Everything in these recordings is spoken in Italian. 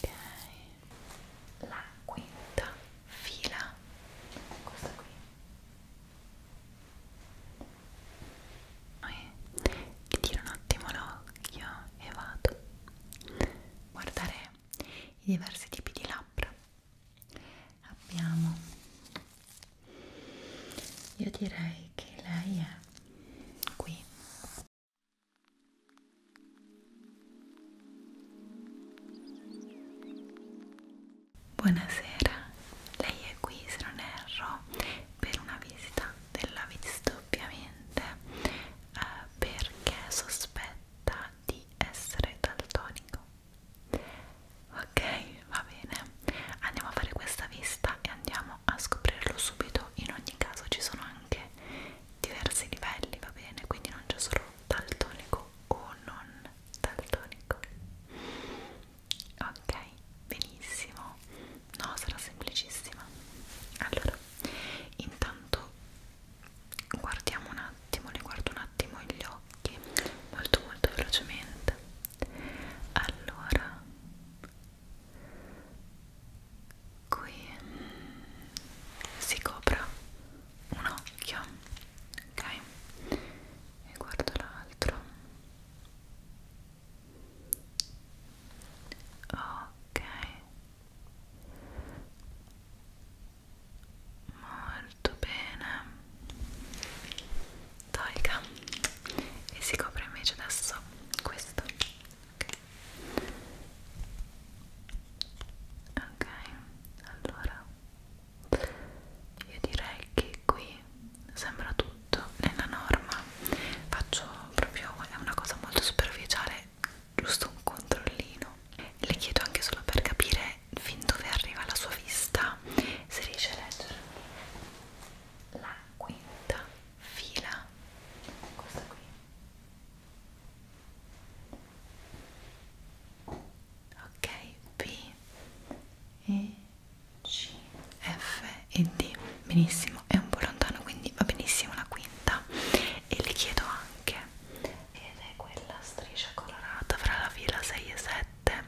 Ok, la quinta fila è questa qui. Poi ti tiro un attimo l'occhio e vado a guardare i diversi tipi di labbra. Abbiamo io direi che lei è qui buonasera lei è qui se non erro per una visita della vista ovviamente eh, perché sospetta di essere daltonico ok va bene andiamo a fare questa vista e andiamo andiamo a scoprirlo subito in ogni caso ci sono anche diversi livelli va bene quindi non c'è solo daltonico o non daltonico ok benissimo no sarà semplicissima allora intanto guardiamo un attimo li guardo un attimo gli occhi molto molto velocemente allora qui si copra un occhio ok e guardo l'altro ok molto bene tolga e si copre invece adesso questo ok, okay. allora io direi che qui sembra tutto nella norma faccio proprio è una cosa molto superficiale giusto un controllino le chiedo anche solo per capire fin dove arriva la sua vista se riesce a leggere la quinta fila questa qui ok B E C F e D benissimo è un po' lontano quindi va benissimo la quinta e le chiedo anche ed è quella striscia colorata fra la fila 6 e 7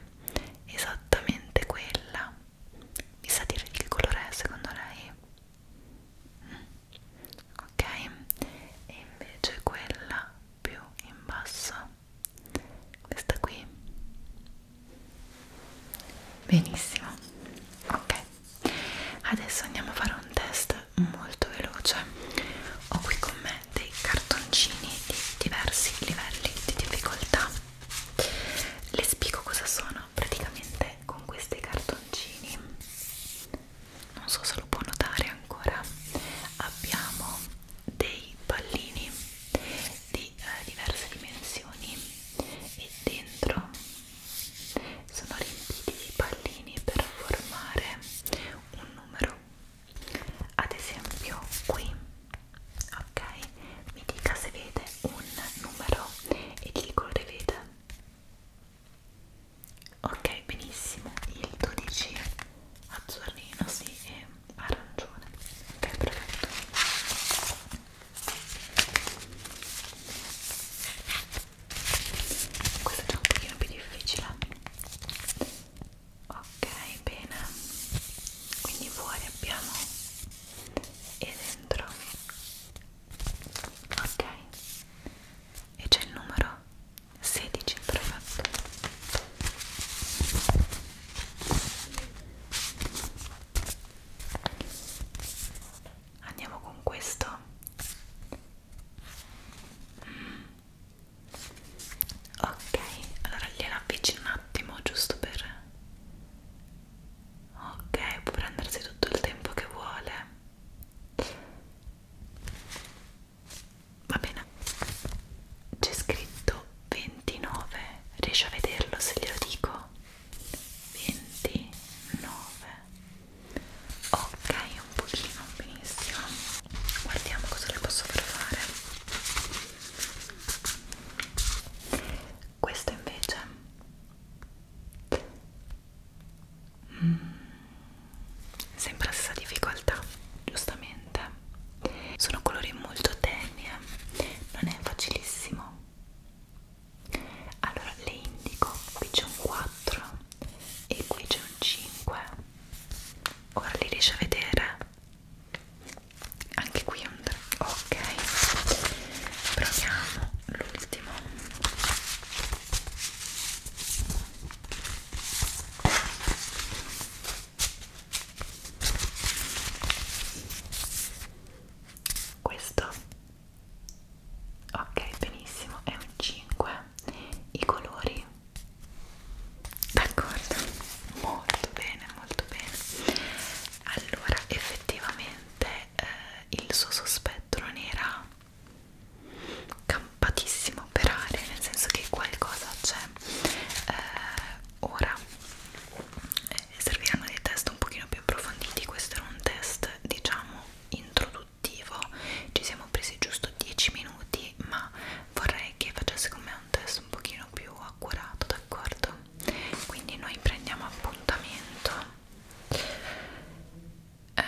esattamente quella mi sa dire il colore secondo lei? Mm. ok e invece quella più in basso questa qui benissimo ok adesso andiamo a fare un test molto veloce ho qui con me dei cartoncini di diversi livelli di difficoltà le spiego cosa sono praticamente con questi cartoncini non so se lo può notare ancora abbiamo dei pallini di eh, diverse dimensioni e dentro sono riempiti di pallini per formare un numero ad esempio qui ok? Mi dica se vede un numero e dico lo rivede. Ok, benissimo. Il 12 azzurrino, sì, e arancione. Ok, perfetto. Questo è già un pochino più difficile. Ok, bene. Quindi fuori abbiamo e dentro ok e c'è il numero 16 perfetto andiamo con questo mm. ok allora gliela avvicino un attimo giusto per ok può prendersi tutto il tempo che vuole va bene c'è scritto 29 riesci a vederlo se glielo dico 29 ok un pochino benissimo guardiamo cosa le posso far fare questo invece mm, sempre la stessa difficoltà giustamente sono colori molto tenui eh. non è facilissimo allora le indico qui c'è un 4 e qui c'è un 5 ora li riesci a vedere anche qui è un 3 ok proviamo l'ultimo questo ok benissimo è un 5 i colori d'accordo molto bene molto bene allora effettivamente eh, il suo sospetto non era campatissimo per aria nel senso che qualcosa c'è eh, ora eh, serviranno dei test un pochino più approfonditi questo era un test diciamo introduttivo ci siamo presi giusto 10 minuti ma vorrei che facesse con me un test un pochino più accurato da d'accordo? Quindi noi prendiamo appuntamento. Eh,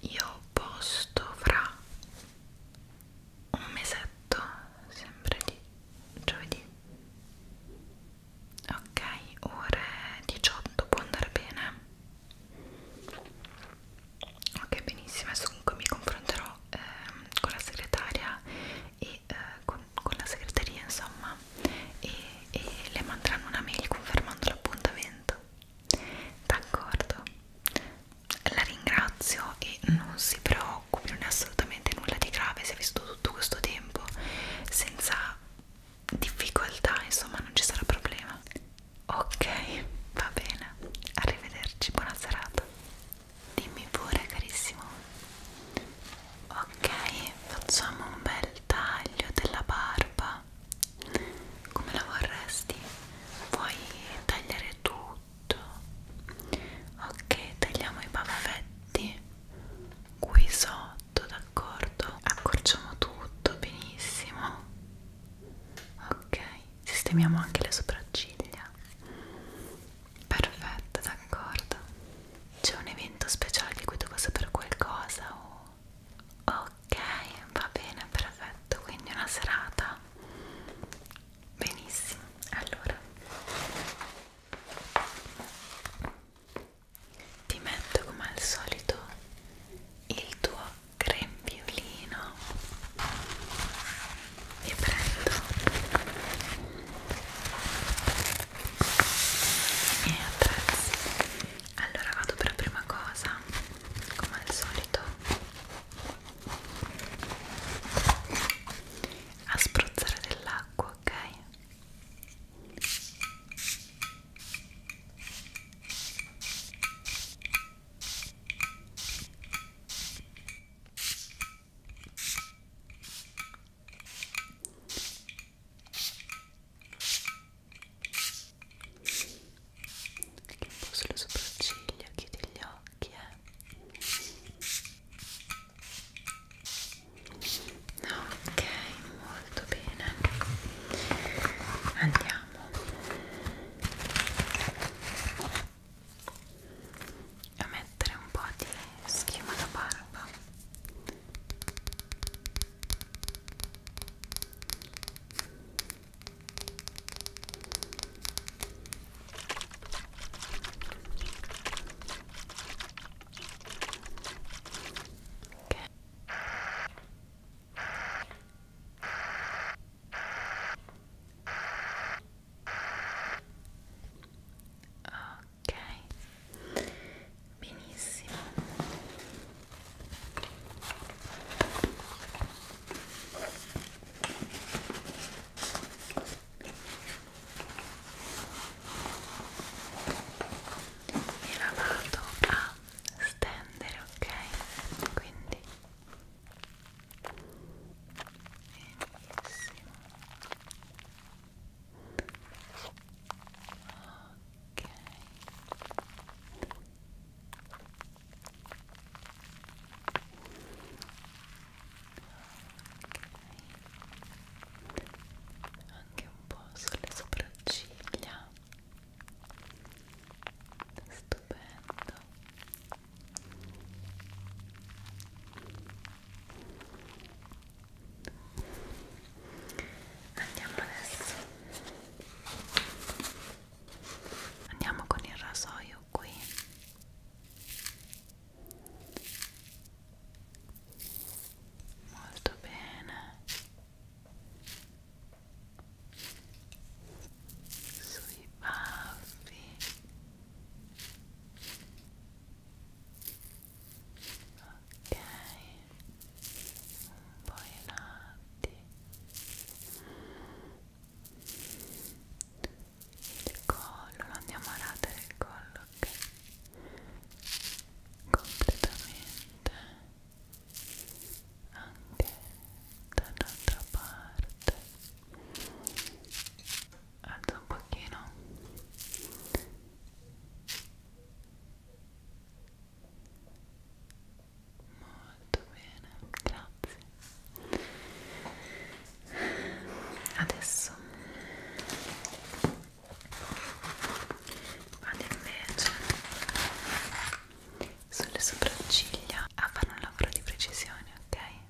io posto fra un mesetto, sempre di giovedì. Ok, ore 18 può andare bene. Ok, benissimo. Adesso comunque mi confronterò eh, con la segretaria e, eh, con, con la segreteria insomma e, e le manderanno una mail confermando l'appuntamento d'accordo la ringrazio e non si preoccupi non è assolutamente nulla di grave si è visto tutto questo tempo senza difficoltà insomma non ci sarà problema ok va bene arrivederci buona serata Dimmi pure carissimo. Ok, facciamo un bel taglio della barba. Come la vorresti? Puoi tagliare tutto. Ok, tagliamo i baffetti qui sotto, d'accordo? Accorciamo tutto benissimo. Ok, sistemiamo anche le sopracciglia. Perfetto, d'accordo. C'è un evento speciale di cui devo sapere qualcosa o... Ok, va bene, perfetto. Quindi una serata. Benissimo. Allora. Ti metto come al solito il tuo grembiolino li prendo i miei attrezzi allora vado per prima cosa come al solito a spruzzare dell'acqua ok un po' sulle sopracciglia, chiudi gli occhi eh. ok, molto bene andiamo a mettere un po' di schiuma da barba okay ok benissimo e la vado a stendere ok quindi benissimo ok ok anche un po' sulle sopracciglia stupendo Andiamo adesso. Andiamo con il rasoio qui. Molto bene. Sui baffi ok un po' in alti il collo, non andiamo a radere il collo ok completamente anche dall'altra parte alza un pochino molto bene grazie adesso vado invece sulle sopracciglia a ah, fare un lavoro di precisione ok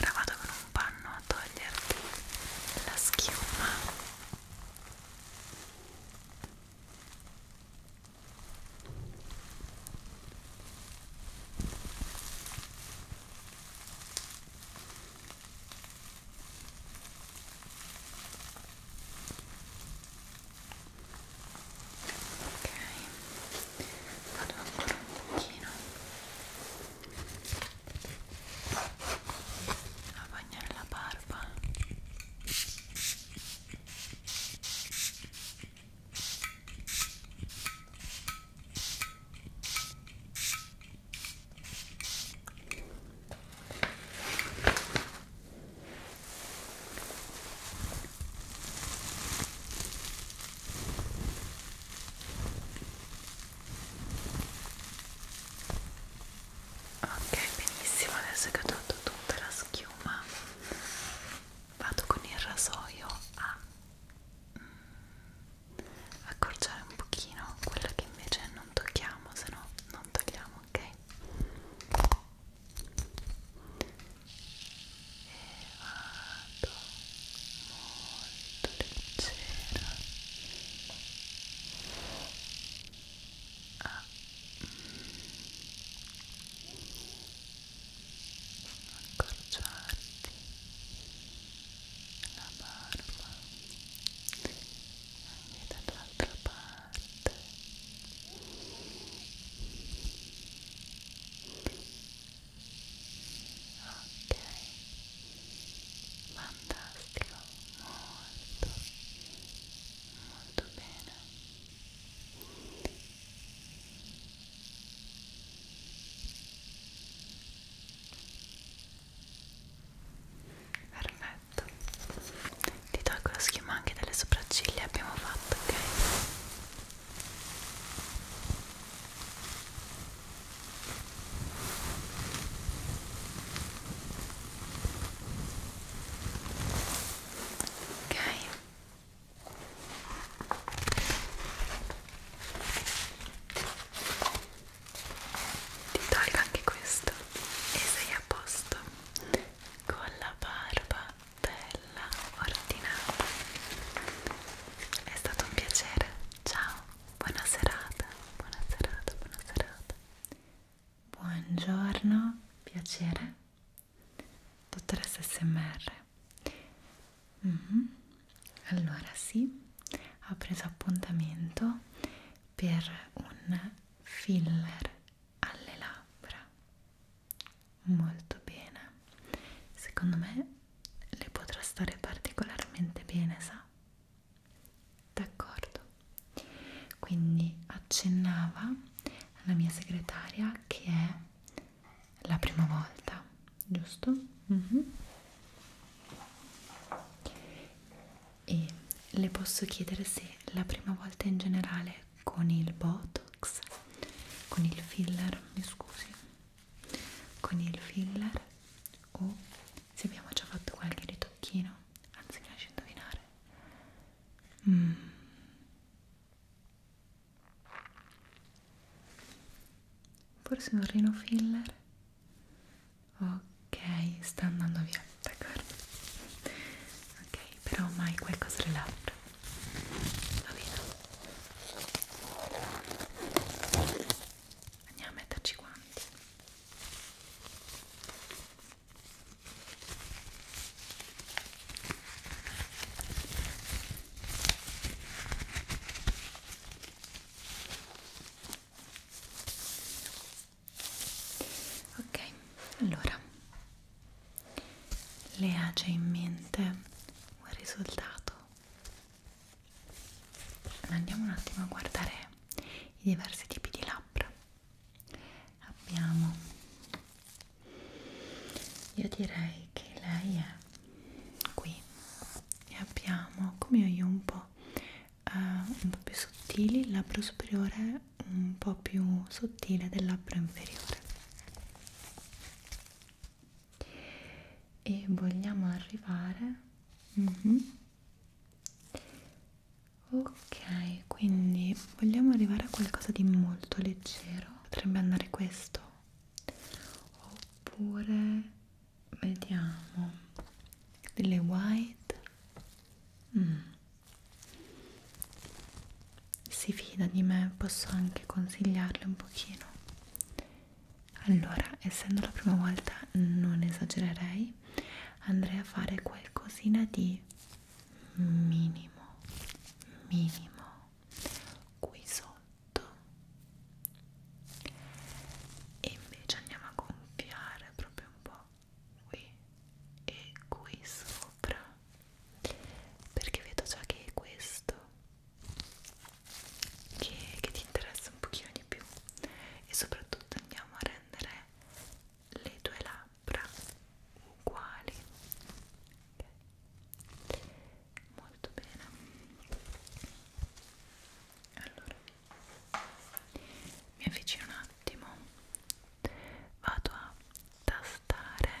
ora vado con un panno a toglierti la schiuma ok vado ancora un pochino a bagnare la barba ok Ok, benissimo, adesso che ho tolto tutta la schiuma vado con il rasoio a mm, accorciare un pochino quella che invece non tocchiamo, se no non togliamo, ok? vado molto leggera a accorciarti la barba anche dall'altra parte ok fantastico molto molto bene perfetto ti tolgo la schiuma anche delle sopracciglia abbiamo fatto ok Ok. Ti tolgo anche questo e sei a posto con la barba bella, ordinata. È stato un piacere. Ciao, buona serata, buona serata, buona serata. Buongiorno, piacere. Dottoressa SMR. Mm -hmm. Allora sì, ho preso appuntamento per un filler alle labbra molto bene secondo me le potrà stare particolarmente bene sa d'accordo quindi accennava alla mia segretaria che è la prima volta giusto mm -hmm. e le posso chiedere se la prima volta in generale con il botox con il filler mi scusi con il filler o se abbiamo già fatto qualche ritocchino anzi mi lasci indovinare mm. forse un rino filler ok sta andando via d'accordo ok però mai qualcosa le labbra va bene andiamo a metterci quanti ok allora le ha già in mente un risultato andiamo un attimo a guardare i diversi tipi di labbra abbiamo io direi che lei è qui e abbiamo come io un po' uh, un po' più sottili il labbro superiore un po' più sottile del labbro inferiore e vogliamo arrivare mm -hmm. ok quindi vogliamo arrivare a qualcosa di molto leggero potrebbe andare questo oppure vediamo delle white mm si fida di me posso anche consigliarle un pochino allora essendo la prima volta non esagererei andrei a fare qualcosina di minimo minimo qui sotto e invece andiamo a gonfiare proprio un po' qui e qui sopra perché vedo già che è questo che, che ti interessa un pochino di più e soprattutto andiamo a rendere le tue labbra uguali okay. molto bene allora mi avvicino un attimo vado a tastare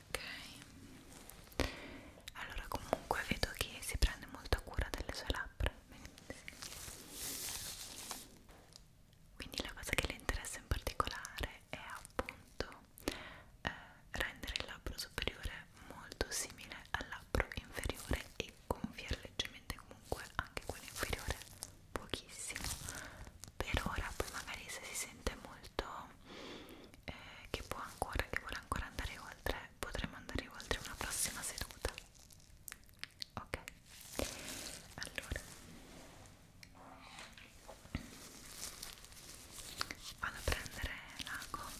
ok allora comunque vedo che si prende molta cura delle sue labbra quindi la cosa che le interessa in particolare è appunto eh, rendere il labbro superiore molto simile al labbro inferiore e gonfiare leggermente comunque anche quello inferiore pochissimo per ora poi magari se si sente molto però eh, che può ancora, che vuole ancora andare oltre, potremo andare oltre una prossima seduta. Ok, allora vado a prendere l'ago ok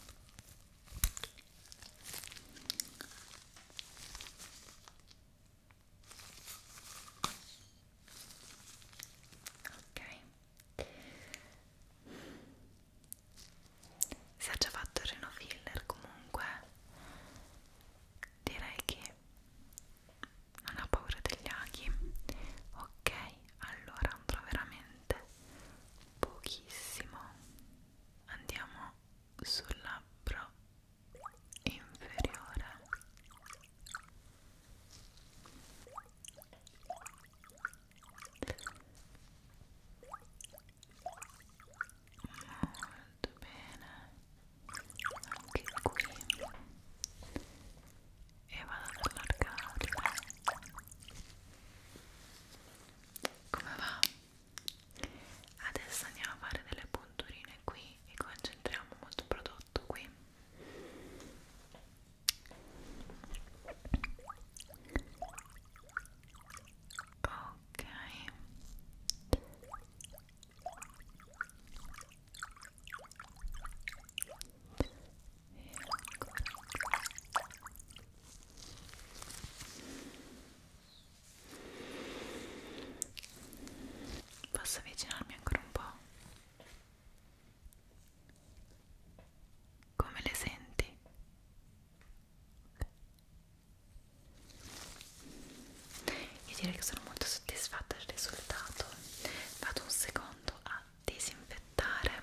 se ha già fatto il reno filler comunque direi che non ha paura degli aghi ok allora andrò veramente pochissimo andiamo sul labbro inferiore molto bene anche qui e vado ad allargarla come va? adesso andiamo a fare delle punturine qui e concentriamo molto prodotto qui Ok. E ancora. Posso avvicinarmi ancora un po'? Come le senti? Io direi che sono molto soddisfatta del risultato. Vado un secondo a disinfettare.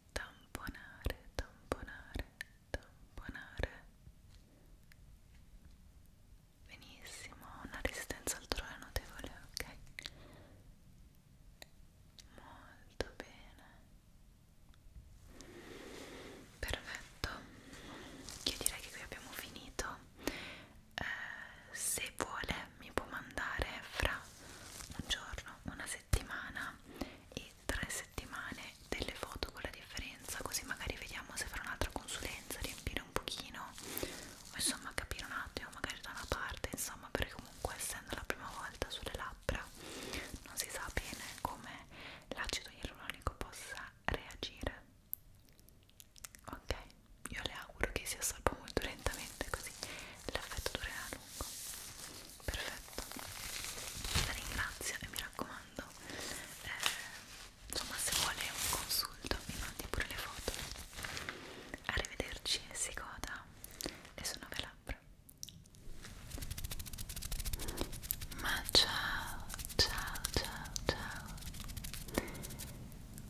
tamponare, tamponare, tamponare benissimo, una resistenza al dolore notevole, ok? molto bene perfetto io direi che qui abbiamo finito eh, se vuole mi può mandare fra un giorno, una settimana e di tre settimane delle foto con la differenza così magari vediamo se farò un'altra consulenza riempire un pochino o insomma capire un attimo magari da una parte insomma perché comunque essendo la prima volta sulle labbra non si sa bene come l'acido ialuronico possa reagire ok io le auguro che si assorba molto lentamente così l'effetto durerà a lungo perfetto la ringrazio e mi raccomando eh, insomma se vuole un consulto mi mandi pure le foto arrivederci si goda le sue nuove labbra ma ciao ciao ciao ciao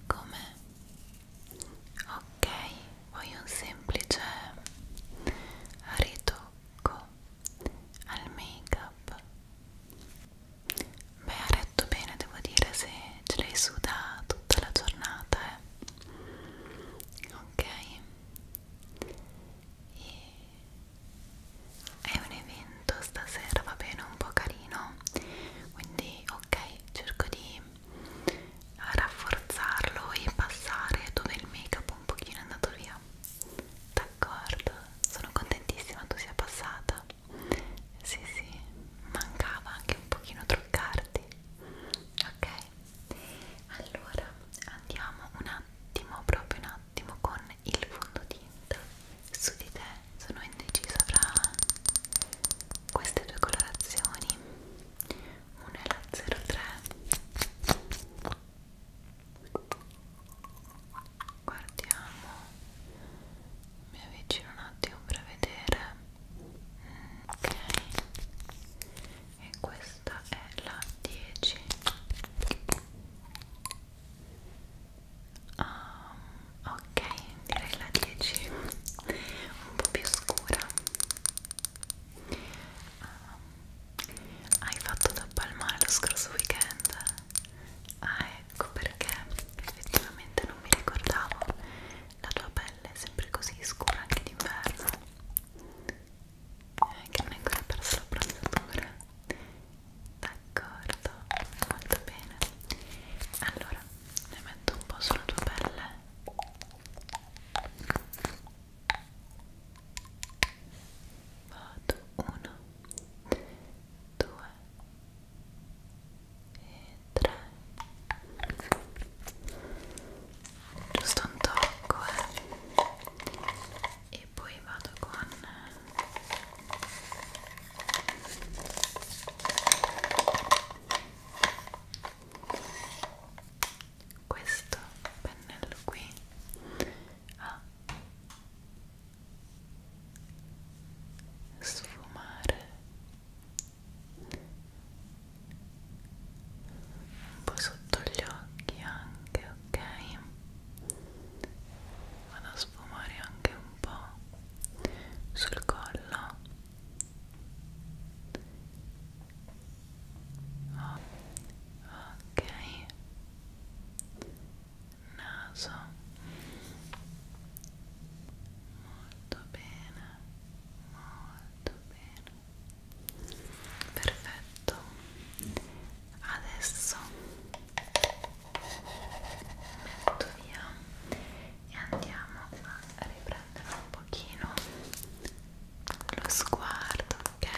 come? Ok, ok voglio un semplice ritocco al make up beh ha retto bene devo dire se ce l'hai su da tutta la giornata eh. ok e è un evento stasera va bene un po' carino quindi ok cerco di rafforzarlo e passare dove il make up un pochino è andato via d'accordo sono contentissima tu sia passata sì sì mancava anche un pochino truccarti ok allora andiamo un attimo proprio un attimo con il fondotinta su di te sono indecisa fra queste due colorazioni una è la 03 guardiamo mi avvicino un attimo per vedere mm, ok e questa è la 10 um, ah, ok direi la 10 un po' più scura Uh, hai fatto da palmare lo scorso weekend? Ah, ecco perché effettivamente non mi ricordavo. La tua pelle è sempre così scura anche d'inverno. Eh, che non hai ancora perso la bronzatura. D'accordo, molto bene. Allora, ne metto un po' sulla tua pelle vado uno due e tre giusto un tocco eh. e poi vado con questo pennello qui a sfumare un po' sotto gli occhi anche ok vado a sfumare anche un po' sul collo ok naso molto bene molto bene perfetto adesso metto via e andiamo a riprendere un pochino lo sguardo, ok?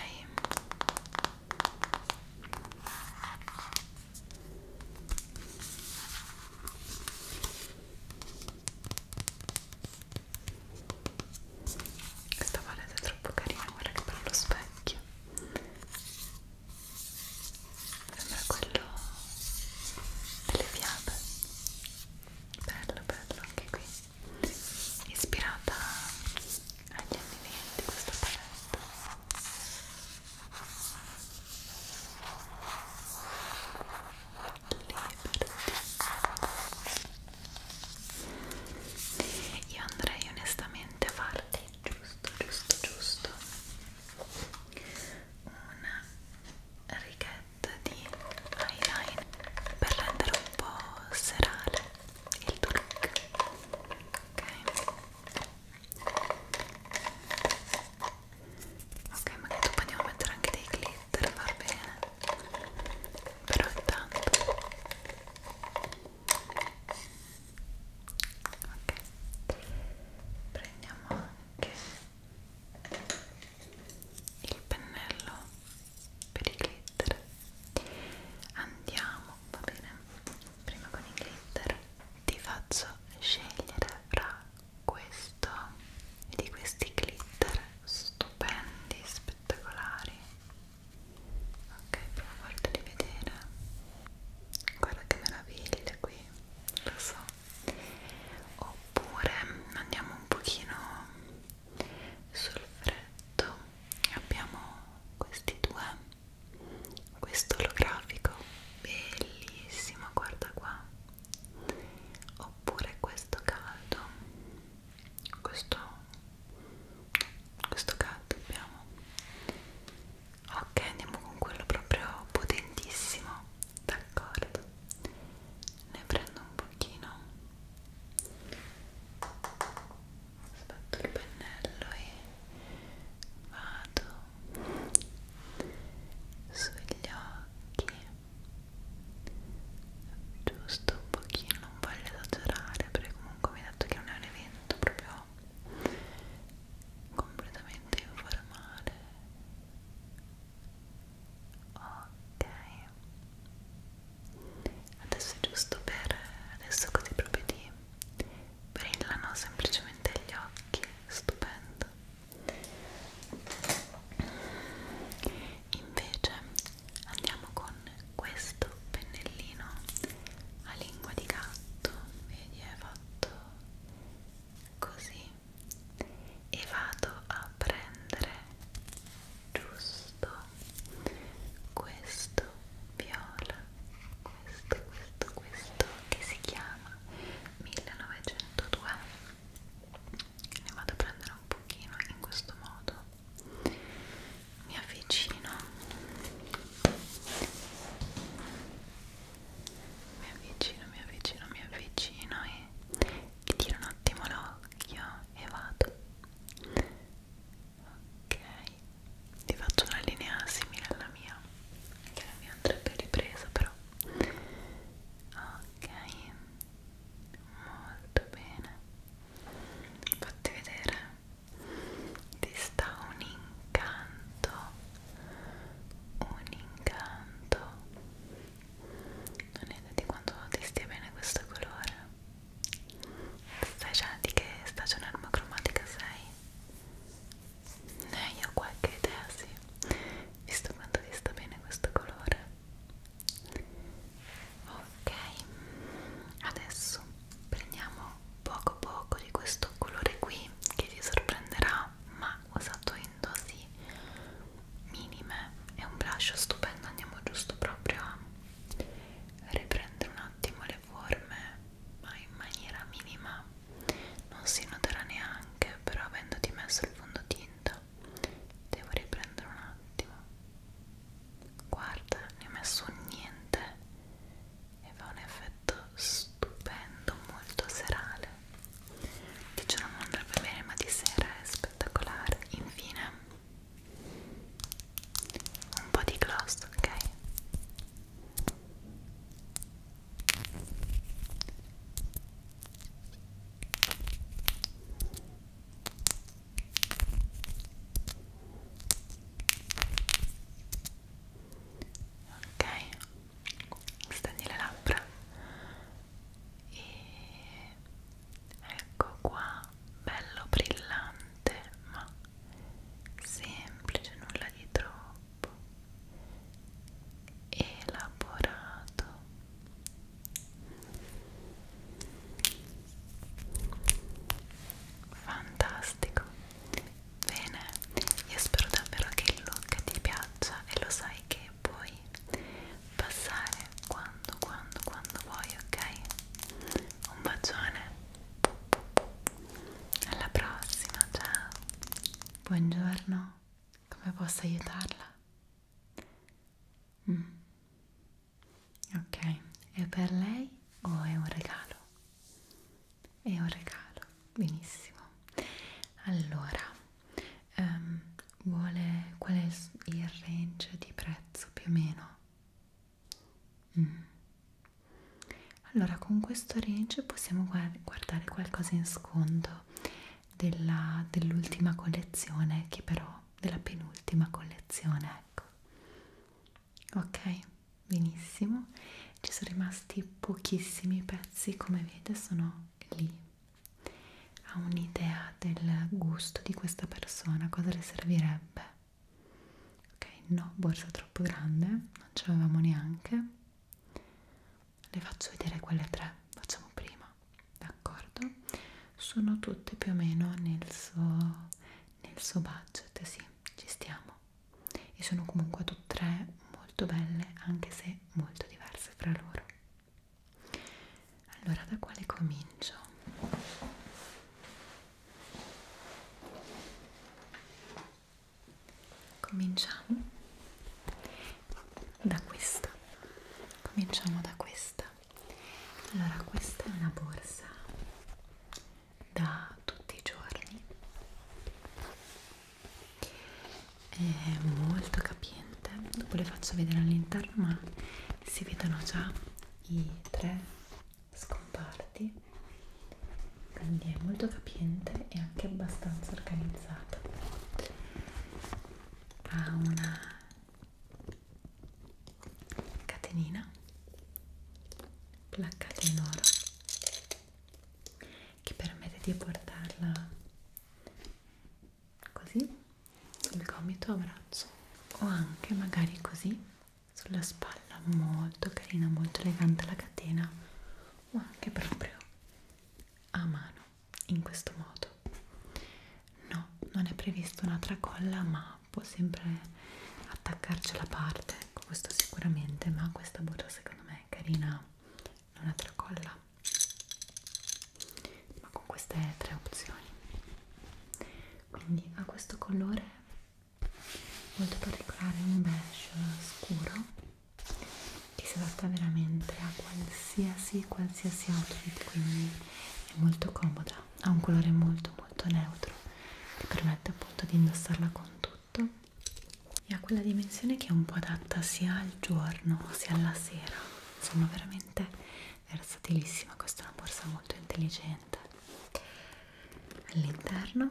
Questa palette è troppo carina, guarda che bello lo specchio. Sembra quello delle fiabe. Bello, bello anche qui ispirata agli anni 20 questa palette Liberty io andrei onestamente a farti giusto giusto giusto una riga set di eyeliner per rendere un po' serale il tuo look ok ok magari dopo andiamo a mettere anche dei glitter va bene però intanto ok prendiamo anche il pennello per i glitter andiamo va bene prima con i glitter ti faccio scegliere fra questo di questi glitter stupendi spettacolari ok prima volta di vedere guarda che meraviglia qui lo so oppure andiamo un pochino sul freddo abbiamo questi due questo olografico bellissimo guarda qua oppure questo caldo questo questo caldo abbiamo ok andiamo con quello proprio potentissimo d'accordo ne prendo un pochino aspetto il pennello e vado sugli occhi giusto un pochino non voglio esagerare perché comunque mi ha detto che non è un evento proprio completamente informale ok adesso è giusto per adesso così proprio di brillano semplicemente gli occhi stupendo invece andiamo con questo pennellino a lingua di gatto vedi è fatto così e vado a prendere giusto questo viola, questo, questo, questo che si chiama 1902 ne vado a prendere un pochino in questo modo mi avvicino mi avvicino, mi avvicino, mi avvicino e ti tiro un attimo l'occhio e vado ok ti faccio una linea simile alla mia che la mia andrebbe ripresa però ok molto bene fatti vedere ti sta un incanto un incanto non è di quanto ti stia bene questo colore Stai già di che stagione armocromatica sei? Eh, io ho qualche idea, sì. Visto quanto vi sta bene questo colore. Ok, adesso prendiamo poco poco di questo colore qui che vi sorprenderà, ma usato in dosi minime è un blush stupendo andiamo giusto proprio a riprendere un attimo le forme ma in maniera minima non si noterà neanche però avendoti messo il fondotinta devo riprendere un attimo guarda ne ho messo un niente e fa un effetto stupendo molto serale di giorno non andrebbe bene ma di sera è spettacolare infine un po' di gloss, ok? Ok, stendi le labbra e ecco qua bello brillante ma semplice nulla di troppo elaborato fantastico bene io spero davvero che il look ti piaccia e lo sai che poi passare quando, quando, quando vuoi, ok? Un bacione, alla prossima, ciao! Buongiorno, come posso aiutarla? Mm. Ok, è per lei o è un regalo? È un regalo, benissimo. Allora, um, vuole qual è il, il range di prezzo più o meno mm. allora con questo range possiamo guardare qualcosa in sconto dell'ultima dell collezione che però della penultima collezione ecco ok benissimo ci sono rimasti pochissimi pezzi come vede sono lì ha un'idea del gusto di questa persona, cosa le servirebbe. Ok, no, borsa troppo grande, non ce l'avevamo neanche. Le faccio vedere quelle tre, facciamo prima, d'accordo? Sono tutte più o meno nel suo, nel suo budget, sì, ci stiamo. E sono comunque tutte e tre molto belle, anche se molto diverse fra loro allora da quale comincio? cominciamo da questa cominciamo da questa allora questa è una borsa da tutti i giorni è molto capita ambiente dopo le faccio vedere all'interno ma si vedono già i tre scomparti quindi è molto capiente e anche abbastanza organizzata ha una catenina placcata in oro che permette di portarla così sul gomito a braccio o anche magari così sulla spalla molto carina molto elegante la catena o anche proprio a mano in questo modo no non è prevista una tracolla ma può sempre attaccarci la parte ecco questo sicuramente ma questa borsa secondo me è carina non è tracolla ma con queste tre opzioni quindi ha questo colore molto particolare un beige scuro che si adatta veramente a qualsiasi qualsiasi outfit quindi è molto comoda ha un colore molto molto neutro che permette appunto di indossarla con tutto e ha quella dimensione che è un po' adatta sia al giorno sia alla sera insomma veramente versatilissima, questa è una borsa molto intelligente all'interno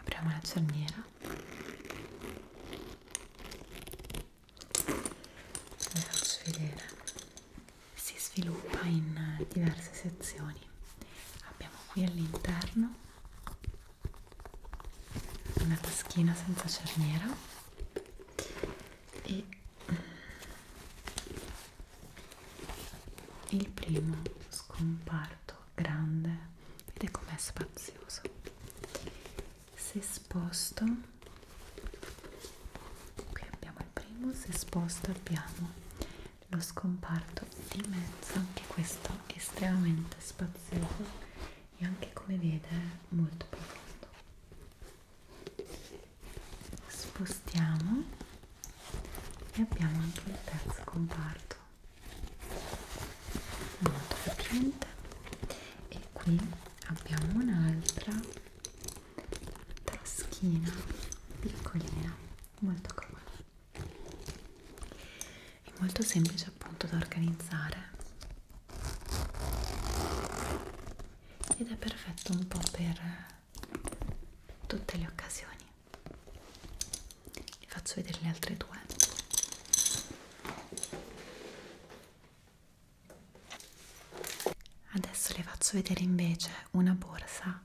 apriamo la cerniera ve la faccio vedere si sviluppa in diverse sezioni abbiamo qui all'interno una taschina senza cerniera e eh, il primo scomparto grande ed è com'è spazioso se sposto qui abbiamo il primo se sposto abbiamo lo scomparto di mezzo anche questo estremamente spazioso e anche come vede è molto profondo spostiamo e abbiamo anche il terzo comparto molto capiente e qui abbiamo un'altra taschina piccolina molto comoda è molto semplice appunto da organizzare ed è perfetto un po' per eh, tutte le occasioni vi faccio vedere le altre due adesso le faccio vedere invece una borsa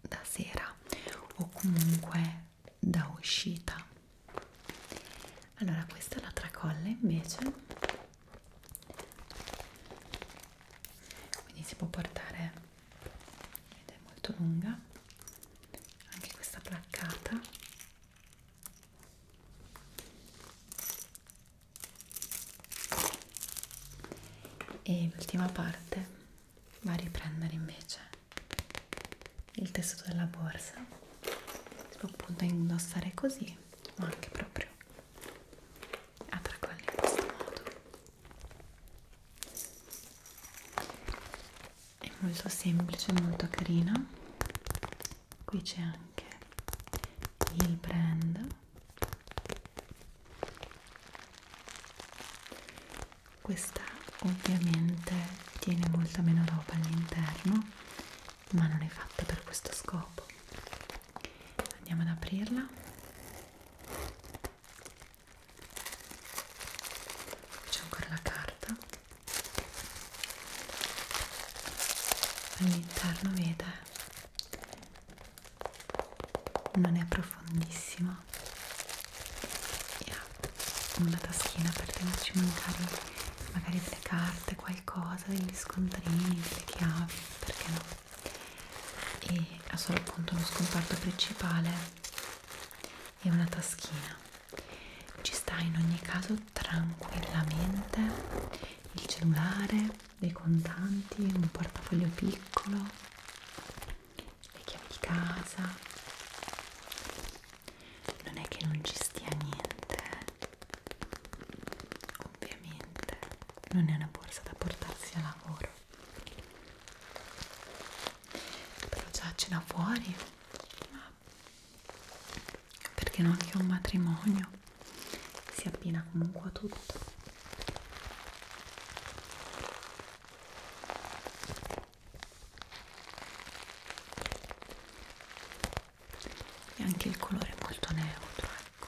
da sera o comunque da uscita allora questa è la tracolla invece quindi si può portare ed è molto lunga anche questa placcata e l'ultima parte va a riprendere invece il tessuto della borsa si può appunto indossare così ma anche proprio a tracollo in questo modo è molto semplice molto carina qui c'è anche il brand questa ovviamente tiene molta meno roba all'interno ma non è fatta per questo scopo. Andiamo ad aprirla. C'è ancora la carta. All'interno vede non è profondissima e ha una taschina per tenerci magari magari delle carte, qualcosa, degli scontrini, delle chiavi, perché no? E ha solo appunto uno scomparto principale e una taschina. Ci sta in ogni caso tranquillamente il cellulare, dei contanti, un portafoglio piccolo, le chiavi di casa non è che non ci stia niente eh. ovviamente non è una borsa da portarsi a lavoro però già a cena fuori ma perché non anche un matrimonio si abbina comunque a tutto e anche il colore è molto neutro ecco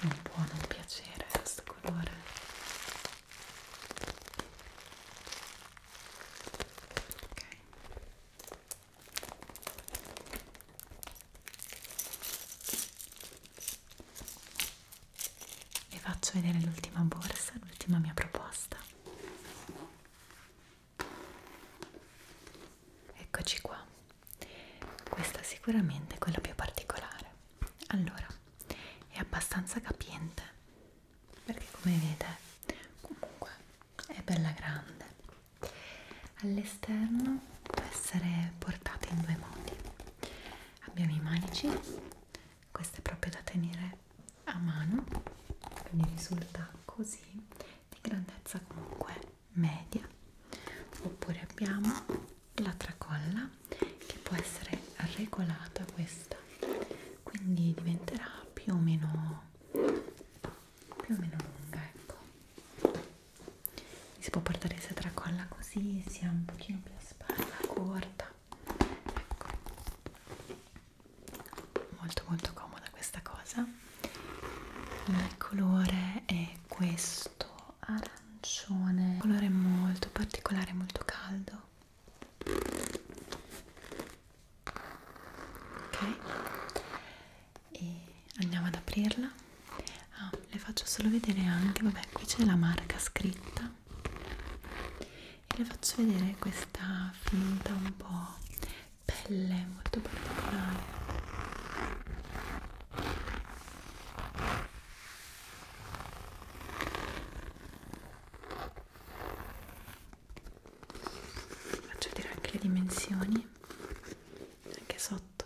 non può non piacere questo colore ok vi faccio vedere l'ultima borsa l'ultima mia proposta Eccoci qua. Questa sicuramente è quella più particolare. Allora, è abbastanza capiente perché come vedete comunque è bella grande. All'esterno può essere portata in due modi. Abbiamo i manici, questo è proprio da tenere a mano quindi risulta così di grandezza comunque media oppure abbiamo la tracolla che può essere regolata questa quindi diventerà più o meno più o meno lunga ecco si può portare sia tracolla così sia un pochino più a spalla corta ecco molto molto comoda questa cosa il colore è questo arancione un colore molto particolare molto caldo ok e andiamo ad aprirla ah, le faccio solo vedere anche vabbè qui c'è la marca scritta e le faccio vedere questa finta un po' pelle molto particolare faccio vedere anche le dimensioni anche sotto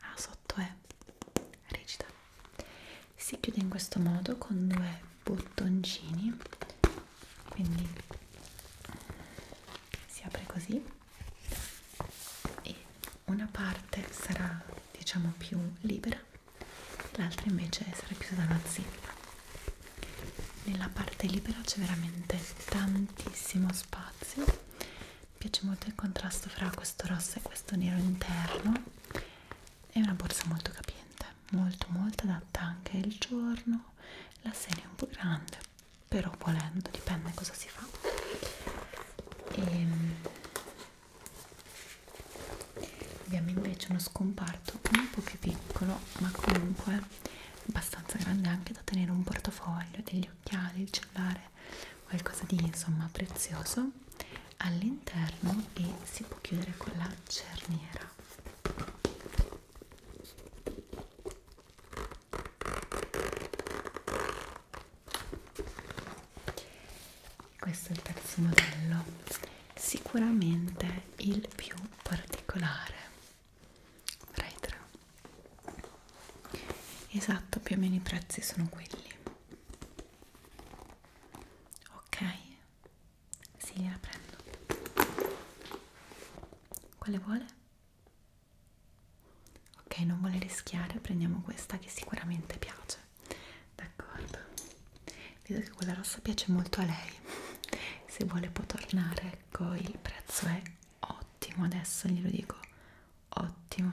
ah sotto è rigida si chiude in questo modo con due bottoncini quindi si apre così e una parte sarà diciamo più libera l'altra invece sarà chiusa da una zeppa nella parte libera c'è veramente tantissimo spazio mi piace molto il contrasto fra questo rosso e questo nero interno è una borsa molto capiente molto molto adatta anche il giorno diciamo la serie è un po' grande però volendo dipende cosa si fa e ehm, abbiamo invece uno scomparto un po' più piccolo ma comunque abbastanza grande anche da tenere un portafoglio degli occhiali il cellulare qualcosa di insomma prezioso all'interno e si può chiudere con la cerniera questo è il terzo modello sicuramente il più particolare Retro. esatto più o meno i prezzi sono quelli ok sì, gliela prendo. Quale vuole? Ok, non vuole rischiare, prendiamo questa che sicuramente piace. D'accordo. Vedo che quella rossa piace molto a lei. Se vuole può tornare, ecco, il prezzo è ottimo, adesso glielo dico. Ottimo.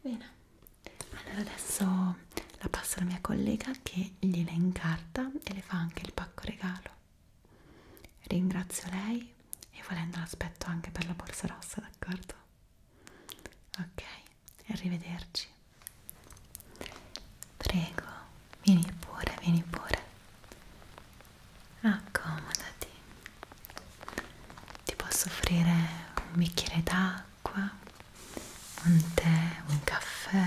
Bene. Allora adesso la passa la mia collega che gliela incarta e le fa anche il pacco regalo. Ringrazio lei e volendo l'aspetto anche per la borsa rossa, d'accordo? Ok, arrivederci. Prego, vieni pure, vieni pure. Accomodati. Ti posso offrire un bicchiere d'acqua un tè, un caffè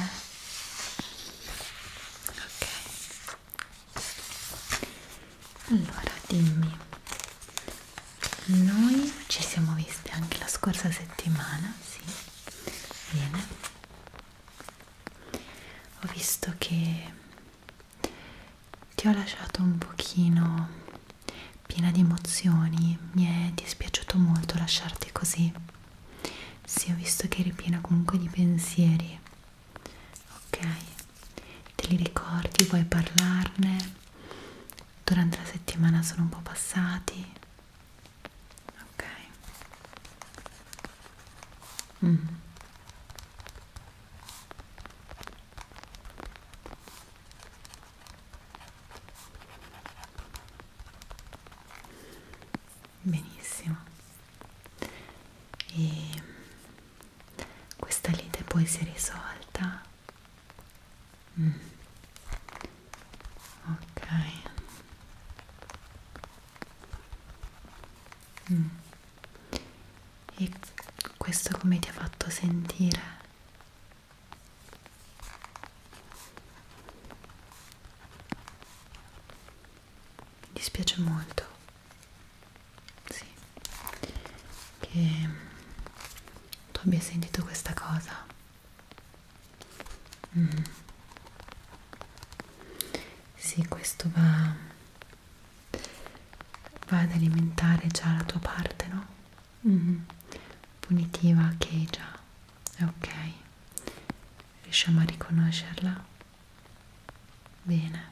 ok allora dimmi noi ci siamo visti anche la scorsa settimana sì bene ho visto che ti ho lasciato un pochino piena di emozioni mi è dispiaciuto molto lasciarti così sì, ho visto che eri piena comunque di pensieri. Ok, te li ricordi? Vuoi parlarne? Durante la settimana sono un po' passati. Ok. Mm benissimo e questa lite poi si è risolta mm. ok mm. e questo come ti ha fatto sentire mi dispiace molto, sì, che tu abbia sentito questa cosa. Mm. Sì, questo va, va ad alimentare già la tua parte, no? Mm. Punitiva che già ok riusciamo a riconoscerla bene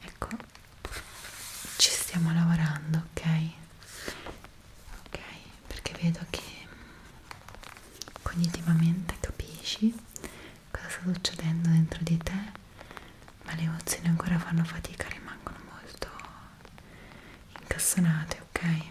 ecco ci stiamo lavorando ok ok perché vedo che cognitivamente capisci cosa sta succedendo dentro di te ma le emozioni ancora fanno fatica rimangono molto incastonate ok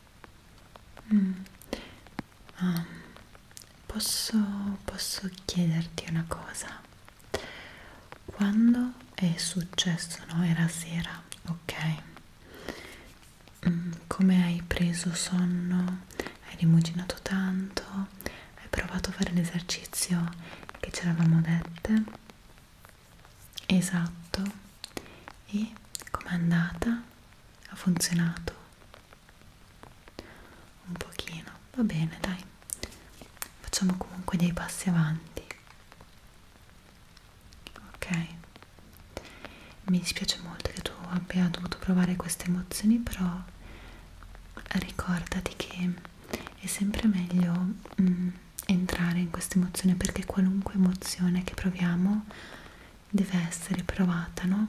Mm. Um, posso, posso chiederti una cosa? Quando è successo? No, era sera, ok? Mm, come hai preso sonno? Hai rimuginato tanto? Hai provato a fare l'esercizio che ci eravamo dette? Esatto e com'è andata? Ha funzionato? Un pochino, va bene, dai. Facciamo comunque dei passi avanti. Ok. Mi dispiace molto che tu abbia dovuto provare queste emozioni, però ricordati che è sempre meglio mm, entrare in questa emozione perché qualunque emozione che proviamo deve essere provata, no?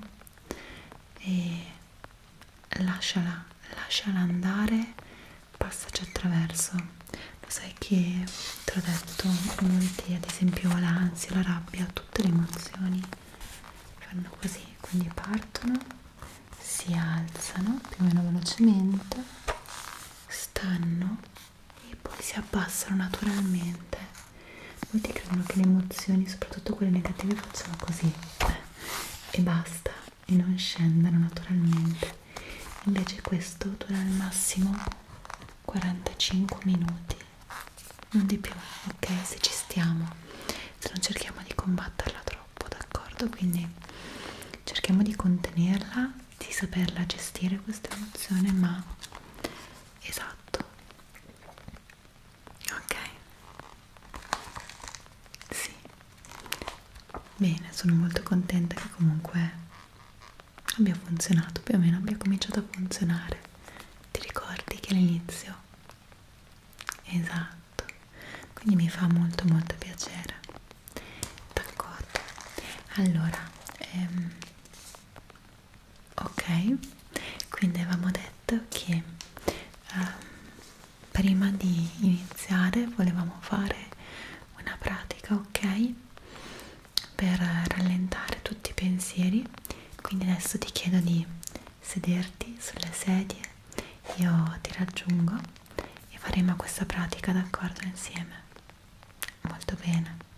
E lasciala, lasciala andare, passaci attraverso. Lo sai che te l'ho detto, molti, ad esempio l'ansia, la rabbia, tutte le emozioni fanno così, quindi partono, si alzano più o meno velocemente, stanno e poi si abbassano naturalmente molti credono che le emozioni soprattutto quelle negative facciano così eh, e basta e non scendano naturalmente invece questo dura al massimo 45 minuti non di più ok se ci stiamo se non cerchiamo di combatterla troppo d'accordo quindi cerchiamo di contenerla di saperla gestire questa emozione ma esatto ok sì bene sono molto contenta che comunque abbia funzionato più o meno abbia cominciato a funzionare ti ricordi che all'inizio esatto quindi mi fa molto molto piacere d'accordo allora ehm, ok quindi avevamo detto che um, prima di iniziare volevamo fare una pratica ok per rallentare tutti i pensieri quindi adesso ti chiedo di sederti sulle sedie io ti raggiungo e faremo questa pratica d'accordo insieme molto bene